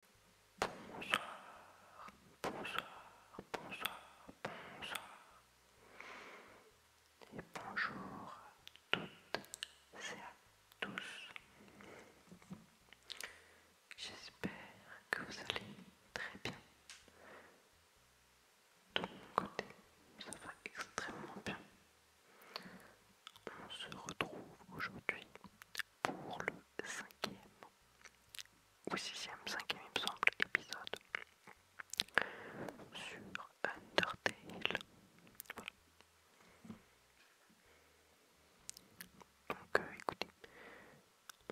Bonsoir, bonsoir, bonsoir, bonsoir. Et bonjour à toutes et à tous. J'espère que vous allez très bien. De mon côté, ça va extrêmement bien. On se retrouve aujourd'hui pour le cinquième ou sixième, cinquième il me semble, épisode sur Undertale. Donc euh, écoutez,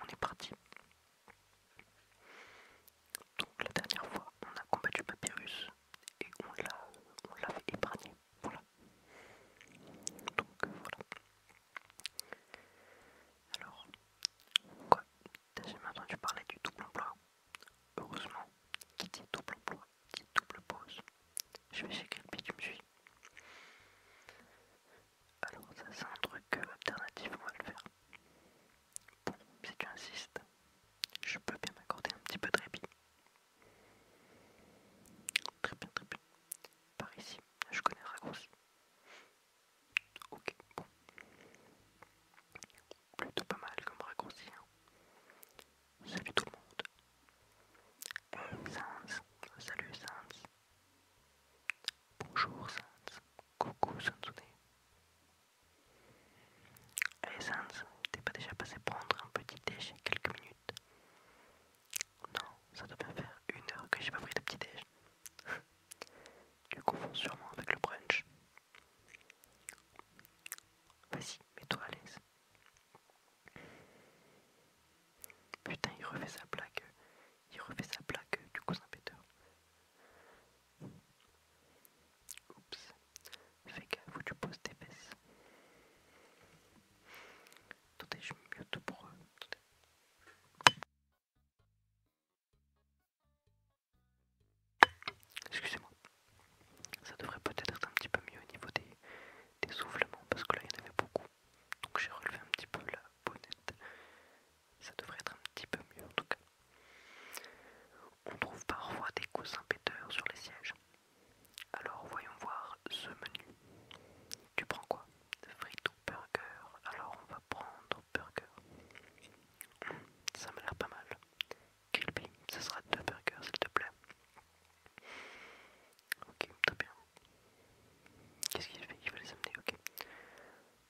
on est parti. Donc la dernière fois, on a combattu Papyrus et on l'a fait épargner. Voilà. Donc voilà. Alors, quoi T'as jamais entendu parler du double emploi Heureusement, qui dit double emploi, dit double pause. Je vais chez le tu me suis Alors ça c'est un truc euh, alternatif, on va le faire. Bon, si tu insistes, je peux bien m'accorder un petit peu de répit. Très bien, très bien. Par ici. Je connais le raccourci. Ok, bon. Plutôt pas mal comme raccourci. Hein. Salut tout le monde. Hey euh, Sans, salut Sans. Bonjour Sans. Coucou Sansune. Hey eh Sans, t'es pas déjà passé prendre un petit thé quelques minutes non, ça doit bien faire une heure que j'ai pas pris de petit déj. tu confonds sûrement avec le brunch. Vas-y, mets-toi à l'aise. Putain, il refait sa plaque. Il refait sa plaque du cousin péteur. Oups. Fais gaffe où tu poses tes fesses. Attendez, je mets mieux tout pour eux. Excusez-moi. Ça devrait peut-être être un petit peu mieux au niveau des, des soufflements parce que là il y en avait beaucoup. Donc j'ai relevé un petit peu la bonnette. Ça devrait être un petit peu mieux en tout cas. On trouve parfois des coussins péteurs sur les sièges. Alors voyons voir ce menu. Tu prends quoi Frites ou burger Alors on va prendre burger. Hmm, ça m'a l'air pas mal. Kilby, ce sera deux burgers s'il te plaît. Ok, très bien. Qu'est-ce qu'il fait Il va les amener, ok.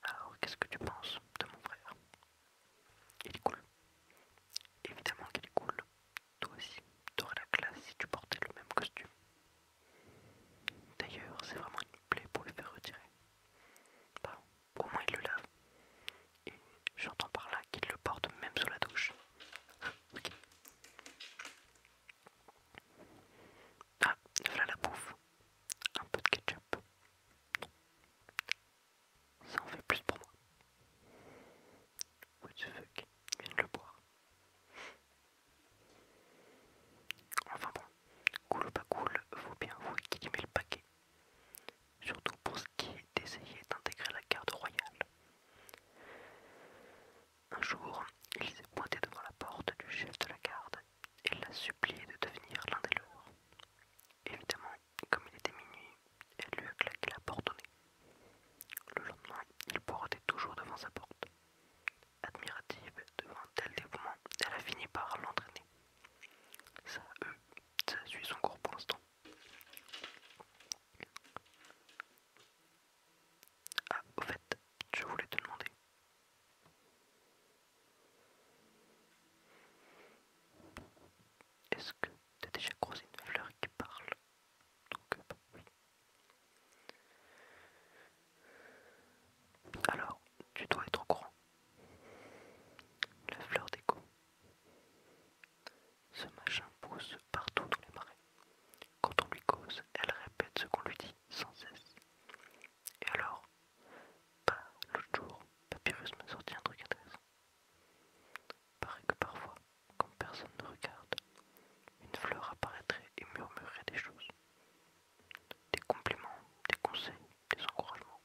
Alors qu'est-ce que tu penses de mon frère Il est cool. Évidemment qu'il est cool. Toi aussi, t'aurais la classe si tu portais le même costume. D'ailleurs, c'est vraiment une plaie pour le faire retirer. au moins il le lave. Et j'entends par là qu'il le porte même sous la douche. Ah, voilà la bouffe. Un peu de ketchup. Ça en fait plus pour moi. What the fuck viens le boire. Enfin bon, cool ou pas cool, vaut bien vous qui le paquet. Surtout pour ce qui est d'essayer d'intégrer la garde royale. Un jour, il s'est pointé devant la porte du chef de la garde et l'a supplié de devenir l'un des leurs. Évidemment, comme il était minuit, elle lui a claqué la porte au nez. Le lendemain, il portait toujours devant sa porte. Admirative devant tel dévouement, elle a fini par l'entraîner. Ça, eux, ça suit son cours pour l'instant. Ah, au fait, je voulais te demander. Est-ce que as déjà croisé une fleur qui parle euh, bah alors, tu dois être au courant. La fleur d'écho. Ce machin pousse partout dans les marais. Quand on lui cause, elle répète ce qu'on lui dit sans cesse. Et alors, pas bah, l'autre jour, Papyrus me sortit un truc intéressant paraît que parfois, quand personne ne regarde, une fleur apparaîtrait et murmurerait des choses. Des compliments, des conseils, des encouragements,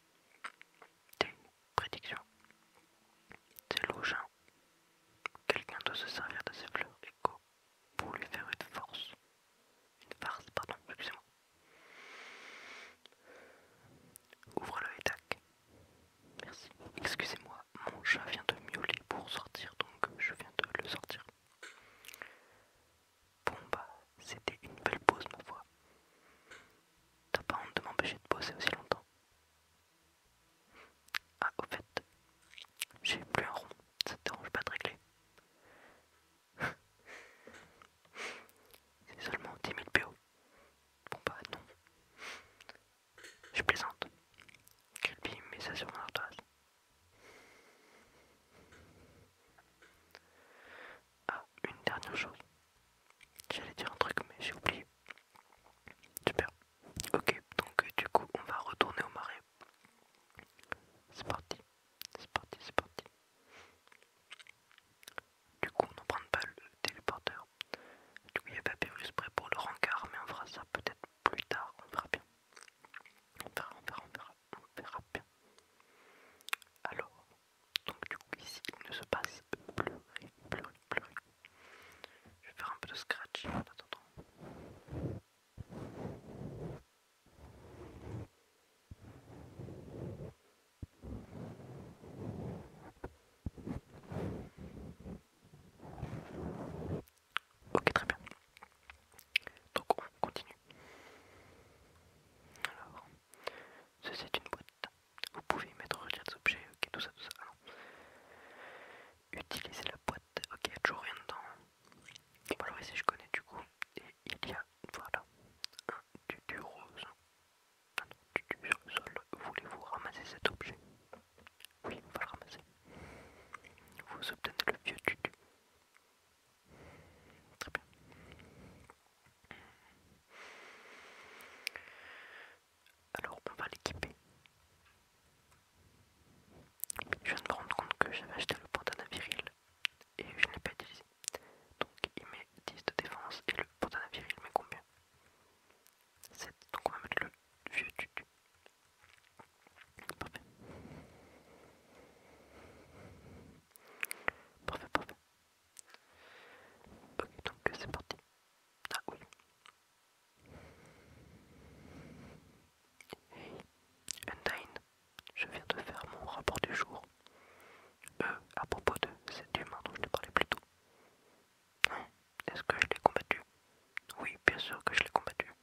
des prédictions. des logins. Quelqu'un doit se servir de ces fleurs écho pour lui faire une force. Une farce, pardon, excusez-moi. Ouvre-le et tac. Merci. Excusez-moi, mon chat vient de miauler pour sortir, donc je viens de le sortir. Bon bah, c'était une belle pause ma voix. T'as pas honte de m'empêcher de bosser aussi longtemps Ah, au fait, j'ai plus un rond, ça te dérange pas de régler C'est seulement 10 000 PO. Bon bah non. Je plaisante. Quel mais ça sur mon Ah, une dernière chose. J'allais dire un truc, mais j'ai oublié. Super. Ok, donc euh, du coup, on va retourner au marais. C'est parti. C'est parti, c'est parti. Du coup, on prend pas le téléporteur. Du coup, il y a Papyrus prêt pour le rencard, mais on fera ça peut-être plus tard, on verra bien. On verra, on verra, on verra, on verra bien. Alors, donc du coup ici il ne se passe plus rien, plus rien, plus rien. Je vais faire un peu de scratch en attendant. Ok, très bien. Donc on continue. Alors, ceci est une boîte. Vous pouvez y mettre les des objets, ok, tout ça, tout ça. utilisez la boîte, ok, il n'y a toujours rien dedans. alors ici, je connais du coup. Et il y a, voilà, un tutu rose. Un tutu rose Voulez-vous ramasser cet objet oui, on va le ramasser. Vous obtenez le vieux tutu. Très bien. Alors, on va l'équiper. Je viens de me rendre compte que j'avais acheté le bandana viril et je ne l'ai pas utilisé. Donc, il met 10 de défense et le bandana viril met combien donc on va mettre le vieux tutu. Parfait. Parfait, parfait. Ok, donc c'est parti. Ah oui. Hey, Undyne, je viens de faire mon rapport du jour. Euh, à propos de cet humain dont je te parlais plus tôt. Hein est-ce que je l'ai combattu Oui, bien sûr que je l'ai combattu.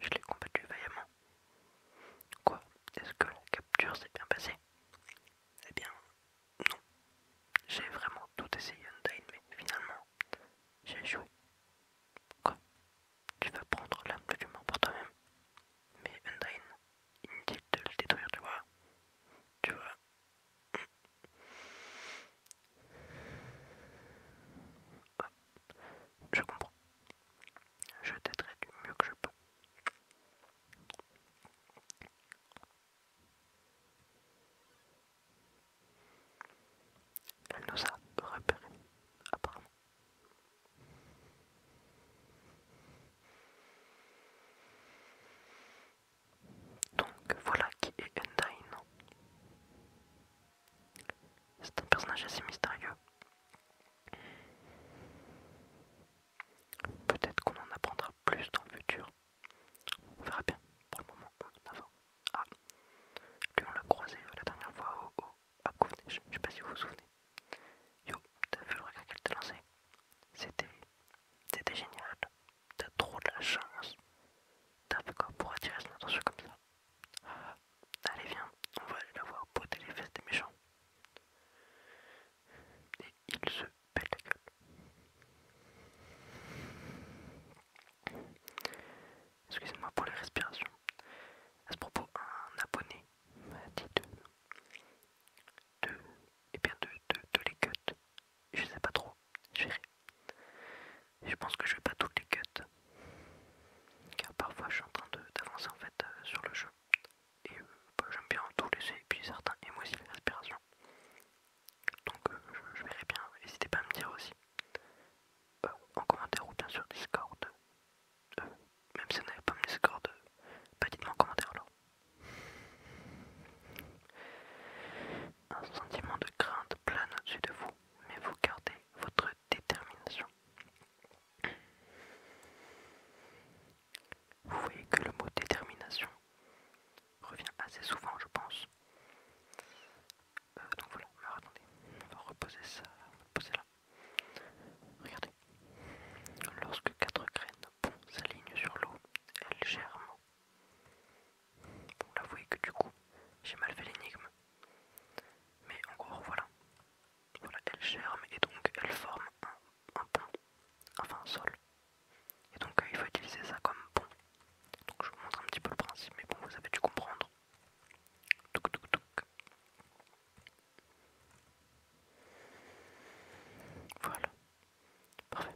Je l'ai combattu vaillamment. Quoi Est-ce que la capture s'est bien passée Eh bien, non. J'ai vraiment tout essayé Undyne, mais finalement, j'ai échoué. Quoi Tu vas prendre l'âme de mort pour toi-même Mais Undyne, inutile de le détruire, tu vois. Tu vois, je comprends. Je t'aiderai du mieux que je peux. Elle nous a repérés, apparemment. Donc voilà qui est C'est un personnage assez mystérieux. Peut-être qu'on en apprendra plus dans le futur. On verra bien. Pour le moment, Ah, lui on l'a croisé la dernière fois au, au à Je sais pas si vous vous souvenez. Yo, t'as vu le regard qu'elle t'a lancé C'était, c'était génial t'as trop de la chance. T'as fait quoi pour attirer son attention comme ça euh, Allez, viens, on va aller la voir botter les fesses des méchants. Et il se pète la gueule. Excusez-moi pour les respirations. À ce propos, un abonné m'a dit de, et eh bien de, de, les cut. Je sais pas trop, je Je pense que je vais pas toutes les cuts. Car parfois je suis en train d'avancer en fait euh, sur le jeu. Et euh, bah, j'aime bien tout laisser et puis certains et moi Donc euh, je, je verrai bien, n'hésitez pas à me dire aussi. en commentaire ou bien sur Discord. même si vous n'avez pas mon Discord, pas bah, dites-moi en commentaire alors. Un sentiment de crainte plane au-dessus de vous, mais vous gardez votre détermination. Vous voyez que le mot détermination revient assez souvent, je pense. Euh, donc voilà, attendez, on va reposer ça, Regardez, lorsque quatre graines s'alignent sur l'eau, elles germent vous voyez que du coup, j'ai mal fait l'énigme. Mais encore voilà. Voilà, elle germe et donc elle forme un, un pont, enfin un sol. Et donc euh, il faut utiliser ça comme pont. Donc je vous montre un petit peu le principe, mais bon, vous avez dû comprendre. Voilà, Parfait.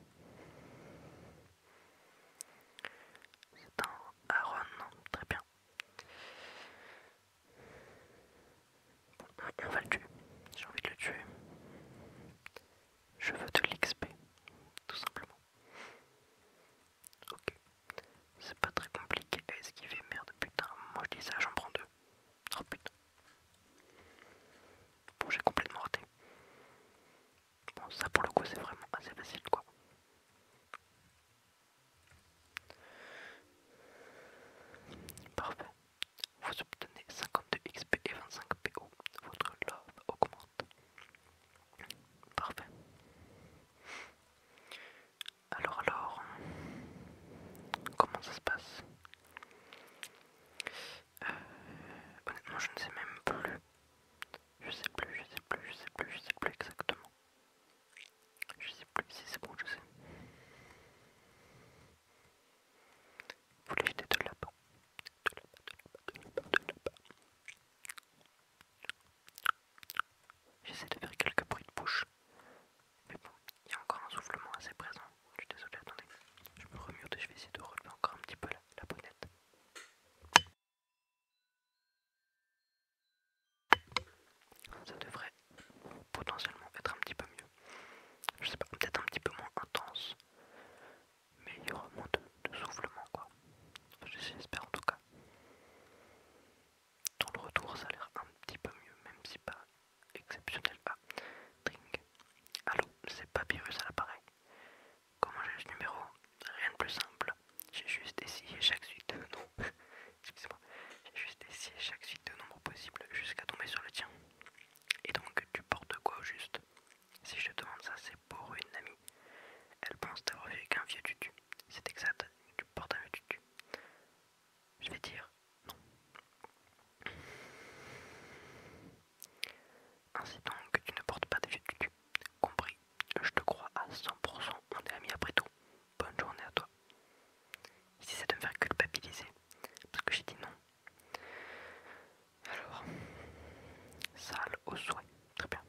C'est un Aaron, très bien. On va le tuer. J'ai envie de le tuer. Je veux de l'XP, tout simplement. Ok. C'est pas très compliqué qu'il esquiver, merde, putain. Moi je dis ça, j'en prends deux. Oh putain. Bon, j'ai complètement raté. Bon, ça pour le coup, c'est vraiment assez facile quoi. Parfait. Vous obtenez 52 XP et 25 PO. Votre love augmente. Parfait. Alors alors, comment ça se passe euh, honnêtement, je ne sais même plus. Je sais plus, je sais plus, je sais plus, je sais plus exactement. Je sais plus si c'est bon, je sais. Vous les jetez de là-bas. De là-bas, de là-bas, de là de là-bas. J'essaie de faire quelques bruits de bouche. Mais bon, il y a encore un soufflement assez présent. Je suis désolé, attendez. Je me remue et je vais essayer de relever encore un petit peu la, bonnette. Ça devrait potentiellement être un petit peu mieux. Je sais pas, peut-être un petit peu moins intense. Mais il y aura moins de, soufflement quoi. J'espère en tout cas. Dans le retour ça a l'air un petit peu mieux, même si pas exceptionnel. Ah, ding Allô, c'est Papyrus à l'appareil. Comment j'ai ce numéro Rien de plus simple. J'ai juste essayé chaque suite de noms. Excusez-moi. J'ai juste essayé chaque suite de nombres possibles jusqu'à tomber sur le tien. Et donc tu portes quoi au juste Si je te demande ça, c'est pour une amie. Elle pense t'avoir vu qu'un vieux tutu. C'est exact, tu portes un vieux tutu. Je vais dire non. Ainsi donc, tu ne portes pas de du Compris, je te crois à 100%, on est amis après tout. Bonne journée à toi. Si ça de me faire culpabiliser, parce que j'ai dit non. Alors, sale au souhait, très bien.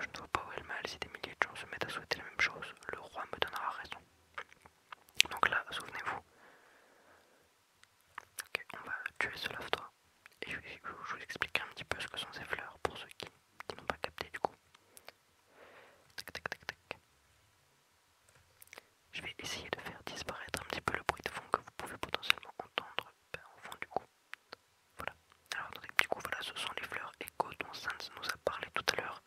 Je ne vois pas où est le mal si des milliers de gens se mettent à souhaiter la même chose. Le roi me donnera raison. Donc là, souvenez-vous, Ok, on va tuer ce lave-toi. Et je, vais vous expliquer un petit peu ce que sont ces fleurs pour ceux qui, n'ont pas capté du coup. Tac, tac, tac, tac. Je vais essayer de faire disparaître un petit peu le bruit de fond que vous pouvez potentiellement entendre ben, au fond du coup. Voilà. Alors du coup voilà, ce sont les fleurs écho dont Sans nous a parlé tout à l'heure,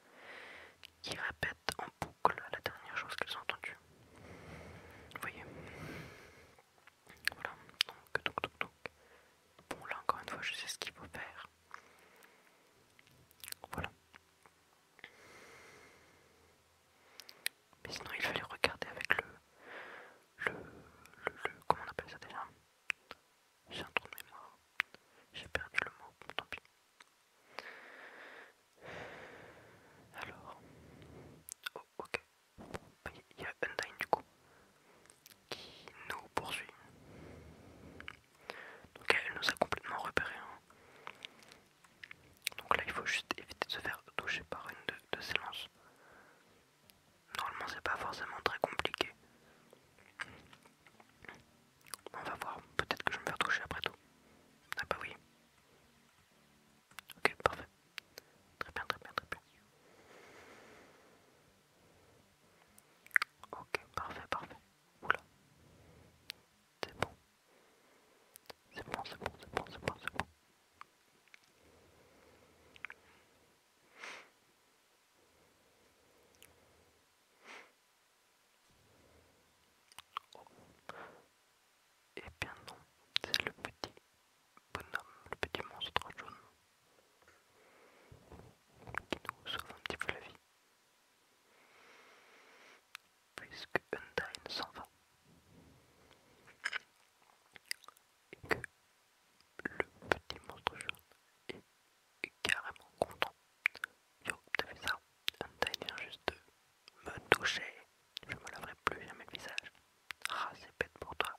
qui répètent en boucle à la dernière chose qu'elles ont entendue. voyez Voilà, donc, donc, donc, donc. Bon, là encore une fois, je sais ce qu'il faut faire. Voilà. Mais sinon, il fallait regarder avec le. le. le. le comment on appelle ça déjà J'ai un trou de mémoire. J'ai perdu le mot, tant pis. Alors, oh, ok, il y a Undyne du coup qui nous poursuit. Donc elle nous a complètement repéré. Hein. Donc là, il faut juste éviter de se faire toucher par une de, ses lances. Normalement, c'est pas forcément très compliqué. On va voir, peut-être que je me fais toucher après tout. Ah bah oui. Ok, parfait. Très bien, très bien, très bien. Ok, parfait, parfait. Oula. C'est bon. C'est bon, c'est bon, c'est bon, c'est bon, c'est bon. Et Eh bien non, c'est le petit bonhomme, le petit monstre jaune qui nous sauve un petit peu la vie. Puisque Undyne s'en va. Et que le petit monstre jaune est carrément content Yo, t'as vu ça Un vient juste de me toucher. Je me laverai plus jamais le visage. Ah, c'est bête pour toi.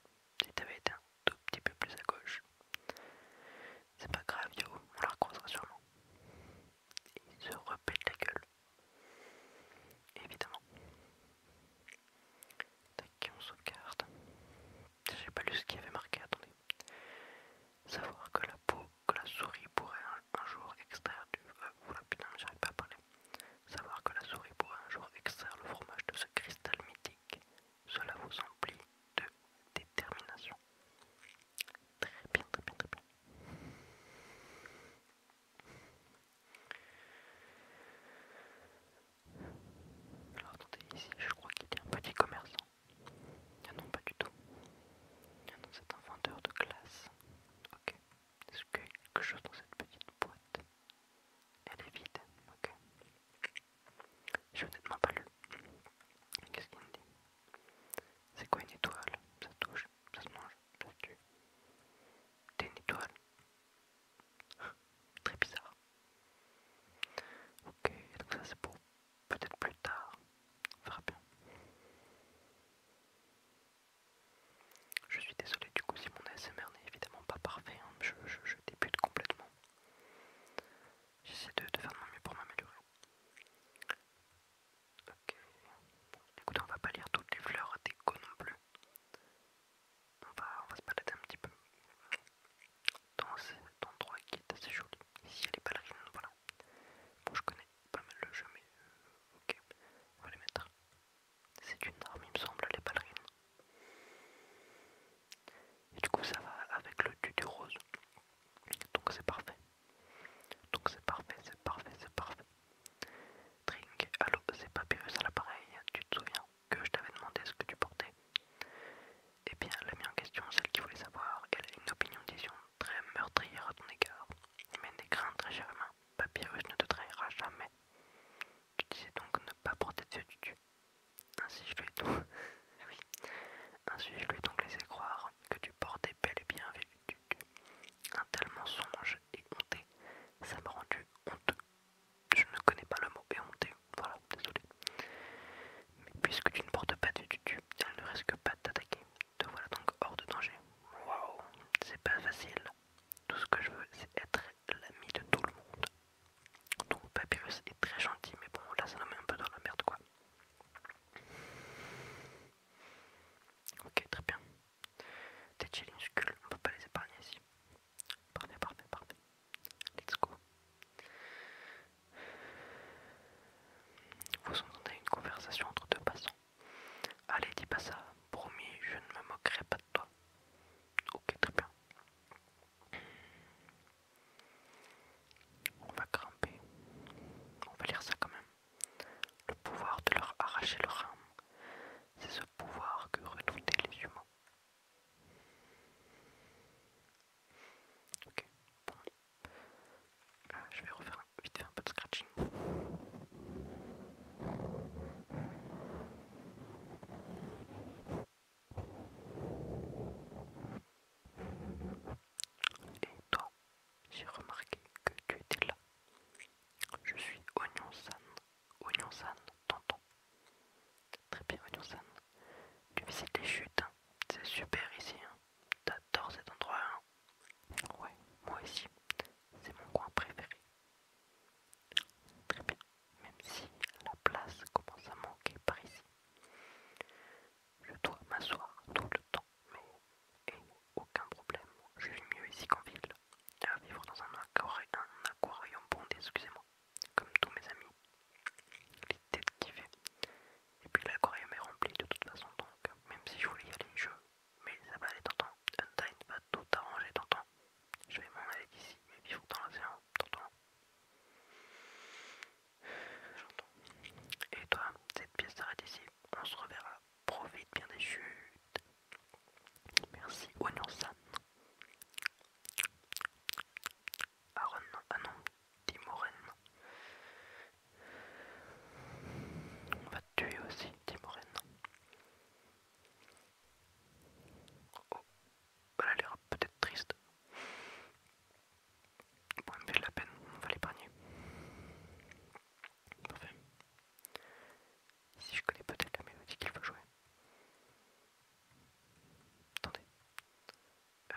Si t'avais été un tout petit peu plus à gauche. C'est pas grave, Yo, on la recroisera sûrement. Il se repète la gueule. Évidemment. Tac, on sauvegarde. J'ai pas lu ce qu'il y avait marqué, attendez. Savoir que la peau, que la souris pourrait un jour extraire du. putain, j'arrive pas à parler. Savoir que la souris pourra un jour extraire le fromage de ce cristal mythique, cela vous emplit de détermination. Très bien, très bien, très bien. Alors attendez, ici je crois qu'il y a un petit commerçant. y'en ah a pas du tout. Ah non, c'est un vendeur de glace. Ok. Est-ce qu'il y a quelque chose dans cette petite boîte Elle est vide. Ok. J'ai honnêtement pas lu. Qu'est-ce qu'il me dit C'est quoi une étoile Ça touche, ça se mange, ça tue. T'es une étoile Très bizarre. Ok, donc ça c'est pour peut-être plus tard. Je suis désolé du coup si mon ASMR n'est évidemment pas parfait, hein. je, débute complètement. J'essaie de, faire de mon mieux pour m'améliorer. Ok. Bon, écoutez, on va pas lire toutes les fleurs déco non plus. On va, se balader un petit peu. Dans cet endroit qui est assez joli. Ici, il y a les ballerines, voilà. Bon, je connais pas mal le jeu, mais euh, ok, on va les mettre. C'est une arme, il me semble, les ballerines. Et du coup, ça va avec le du rose. Donc c'est parfait. Donc c'est parfait, c'est parfait, c'est parfait. Trink, allô, c'est Papyrus à l'appareil. Tu te souviens que je t'avais demandé ce que tu portais Eh bien, la mienne en question, celle qui voulait savoir, elle a une opinion très meurtrière à ton égard. Mais n'aie très Papyrus ne te trahira jamais. Tu disais donc ne pas porter de tutu. Ainsi je lui eh ai donc, laissé croire que tu portais bel et bien avec tutu. Un tel mensonge et honte. ça m'a rendu honteux. Je ne connais pas le mot honteux, voilà, désolé. Mais puisque tu ne portes pas de tutu, Tiens, elle ne risque pas de t'attaquer. Te voilà donc hors de danger. Waouh, c'est pas facile. Tout ce que je veux, c'est être l'ami de tout le monde. Donc Papyrus est très gentil, mais bon, là ça nous met un peu dans la merde, quoi. Ok, très bien. Tes cul, on peut pas les épargner ici. Parfait, parfait, parfait. Let's go. Vous entendez une conversation entre deux passants. Allez, dis pas ça, promis, je ne me moquerai pas de toi. Ok, très bien. On va grimper. On va lire ça quand même. Le pouvoir de leur arracher leur âme. C'est ce pouvoir que redoutaient les humains. Ok, ah, je vais refaire vite fait un peu de scratching. Et toi, j'ai remarqué que tu étais là. Je suis Onyonsan, San. Tonton. San, Très bien, Oignon Tu visites les chutes, hein. c'est super ici. Hein. T'adores cet endroit, hein. Ouais, moi aussi. C'est mon coin préféré. Très bien, même si la place commence à manquer par ici. Je dois m'asseoir tout le temps, mais et aucun problème. Je vis mieux ici qu'en ville. À vivre dans un, un aquarium bondé, excusez-moi, comme tous mes amis. Les têtes qui et puis l'aquarium est rempli de toute façon, donc même si je voulais y aller, je. Mais ça va aller, t'entends. Untied va tout arranger, Tonton. Je vais m'en aller d'ici mais vivre dans l'océan, t'entends. J'entends. Et toi, cette pièce s'arrête ici. On se reverra. Profite bien des chutes. Merci, Oignon San. Aaron, ah non, Timoren. On va te tuer aussi, Timoren. Oh, elle a l'air peut-être triste. Bon, elle me fait la peine, on va l'épargner. Parfait. Si je connais peut-être la mélodie qu'il faut jouer. Attendez. Euh,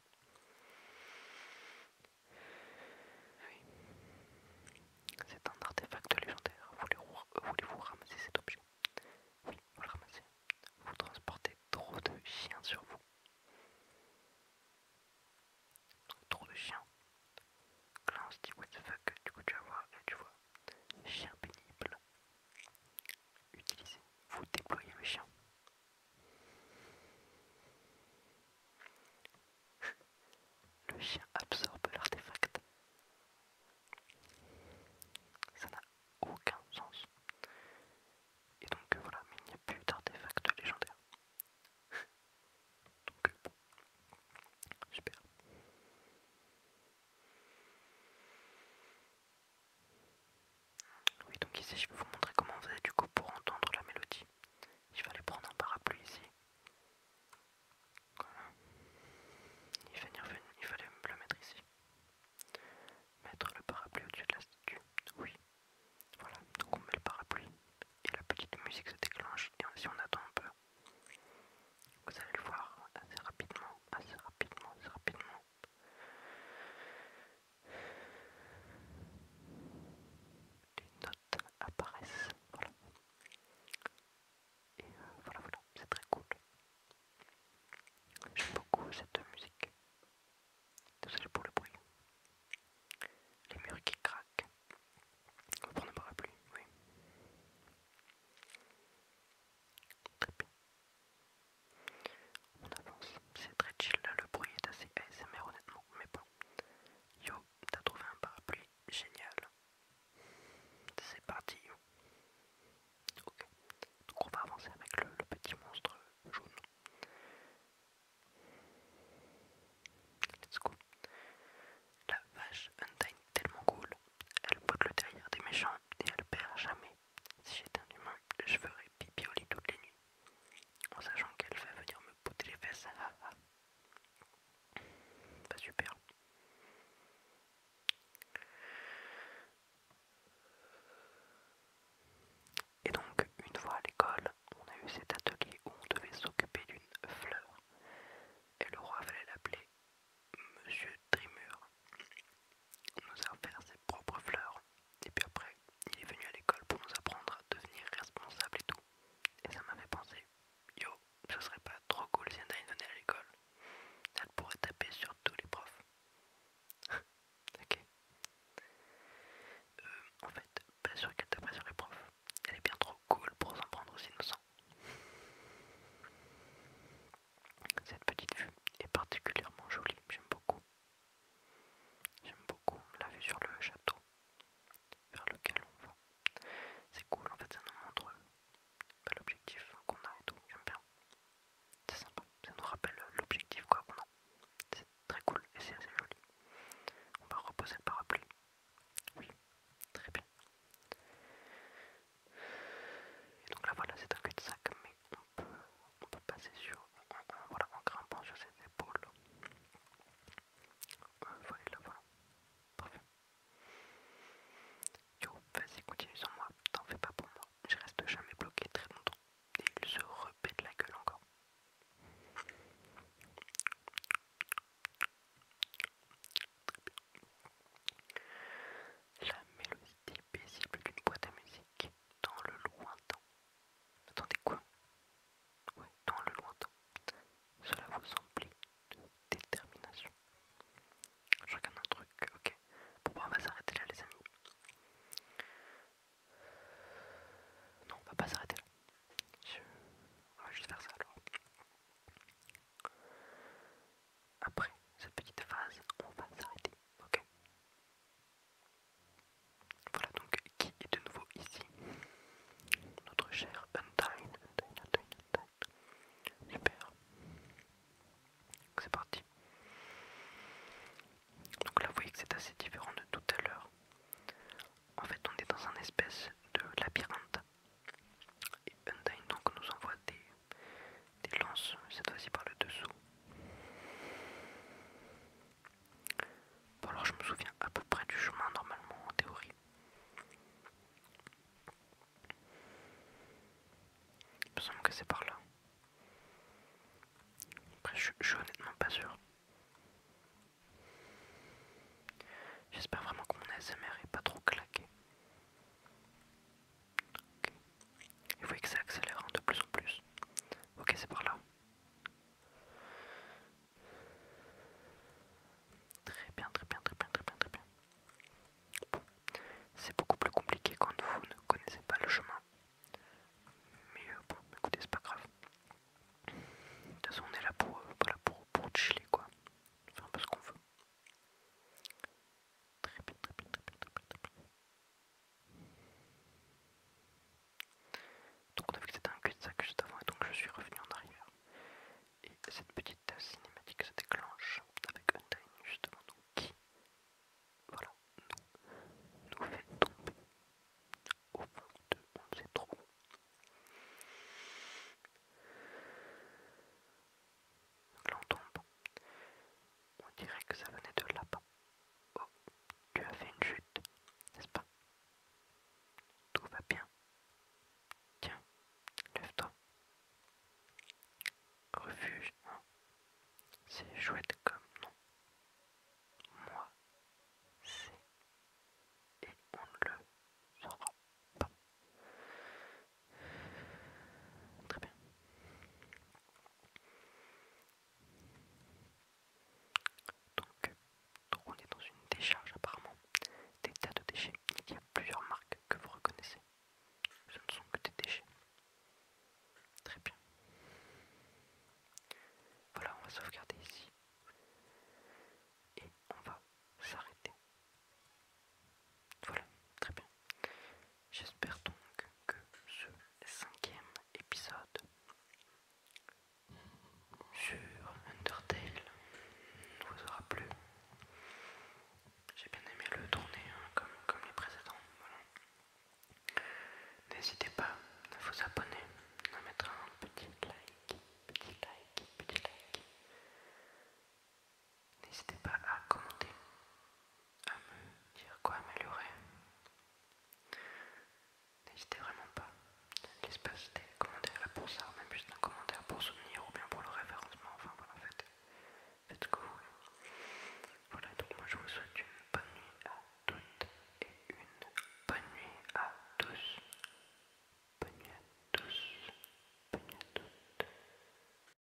C'est un artefact légendaire. Voulez-vous euh, ramasser cet objet Oui, vous le ramassez. Vous transportez trop de chiens sur vous. Trop de chiens. se dit what the fuck, du coup tu vas voir, tu vois. Chien pénible. Utilisez. Vous déployez le chien. Le chien absorbe l'artefact. Ça n'a aucun sens. Et donc euh, voilà, mais il n'y a plus d'artefact légendaire. donc euh, bon. Oui, donc ici, je vais vous montrer comment on faisait du coup pour entendre la mélodie. Il fallait prendre un parapluie ici. Voilà. Il, fallait, il fallait le mettre ici. Mettre le parapluie au-dessus de la statue. Oui. Voilà, donc on met le parapluie et la petite musique se déclenche. Et si on attend un peu, vous allez le voir assez rapidement, assez rapidement, assez rapidement. Des notes apparaissent. Voilà. Et euh, voilà, voilà, c'est très cool. J'aime beaucoup cette musique. Désolé pour le bruit. Les murs qui craquent. On ne pas oui. On avance, c'est très chill là, le bruit est assez ASMR honnêtement, mais bon. Yo, t'as trouvé un parapluie, génial. C'est parti. Ok, donc on va avancer avec le, petit monstre jaune. Let's go. La vache Undyne tellement cool. Elle botte le derrière des méchants et elle perd jamais. Si j'étais un humain, je ferai pipi au toutes les nuits, en sachant qu'elle va venir me pouter les fesses. Ah, ah. Pas super. Et donc, une fois à l'école, on a eu cet atelier où on devait s'occuper d'une fleur. Et le roi fallait l'appeler Monsieur Trimur. On nous a offert ses propres fleurs. Et puis après, il est venu à l'école pour nous apprendre à devenir responsable et tout. Et ça m'avait pensé, yo, ce serait pas trop cool si elle venait à l'école. Elle pourrait taper sur tous les profs. ok. Euh, en fait, pas sûr qu'elle taperait sur les profs. Elle est bien trop cool pour s'en prendre aux innocents. Cette petite vue est particulièrement jolie, j'aime beaucoup. J'aime beaucoup la vue sur le château vers lequel on va. C'est cool en fait, ça nous montre bah, l'objectif qu'on a et tout. J'aime bien. C'est sympa, ça nous rappelle l'objectif quoi qu'on a. C'est très cool et c'est assez joli. On va reposer le parapluie. Oui, très bien. Et donc là voilà, c'est un cul-de-sac, mais on on peut passer sur, en, voilà, en grimpant sur ses épaules. Euh, voilà, voilà. Parfait. Yo, vas-y, continue sans moi, t'en fais pas pour moi. Je reste jamais bloqué très longtemps. Et il se repète la gueule encore. La mélodie paisible d'une boîte à musique dans le lointain. Attendez quoi Ouais, dans le lointain. Cela vous emplit de détermination. Je regarde un truc, ok. Pourquoi bah, on va s'arrêter là, les amis. Non, on va pas s'arrêter là. On va juste faire ça alors. Après cette petite phase, on va s'arrêter, ok voilà donc qui est de nouveau ici. Notre cher Undyne, C'est parti. Donc là vous voyez que c'est assez différent de tout à l'heure. En fait on est dans un espèce de labyrinthe. Et Undyne donc nous envoie des des lances, cette fois-ci par le dessous. Bon alors je me souviens à peu près du chemin normalement en théorie. Il me semble que c'est par là. Après je, suis honnêtement pas sûr. J'espère vraiment que mon SMR est pas trop claqué. Ok. faut vous voyez que ça accélère hein, de plus en plus. Ok, c'est par là. Très bien, très bien, très bien, très bien, très bien. C'est beaucoup plus compliqué quand vous ne connaissez pas le chemin. Mais euh, bon, écoutez, c'est pas grave. De toute façon, on est là euh, pour, pour chiller, quoi. Faire un peu ce qu'on veut. très bien, très bien, très bien, très bien. Donc on a vu que c'était un cul-de-sac juste avant et donc je suis revenu en arrière. Et cette petite cinématique se déclenche avec un time justement donc qui voilà nous, fait tomber au point de on trop là On dirait que ça venait de là-bas. Oh, tu as fait une chute, n'est-ce pas Tout va bien. Tiens, lève-toi. Refuge, Non. Hein c'est chouette comme nom. Moi, c'est. Et on ne le saura pas. Très bien. Donc, on est dans une décharge apparemment. Des tas de déchets. Il y a plusieurs marques que vous reconnaissez. Ce ne sont que des déchets. Très bien. Voilà, on va sauvegarder ici. Et on va s'arrêter voilà, très bien. J'espère donc que ce cinquième épisode sur Undertale vous aura plu. J'ai bien aimé le tourner hein, comme, comme les précédents. N'hésitez pas à vous abonner, à mettre un petit like, petit like, petit like. N'hésitez pas à commenter, à me dire quoi améliorer. N'hésitez vraiment pas. L'espace des commentaires là pour ça, même juste un commentaire pour soutenir ou bien pour le référencement. Enfin voilà, faites, faites ce que vous voulez. Voilà, donc moi je vous souhaite une bonne nuit à toutes et une bonne nuit à tous. Bonne nuit à tous. Bonne nuit à toutes.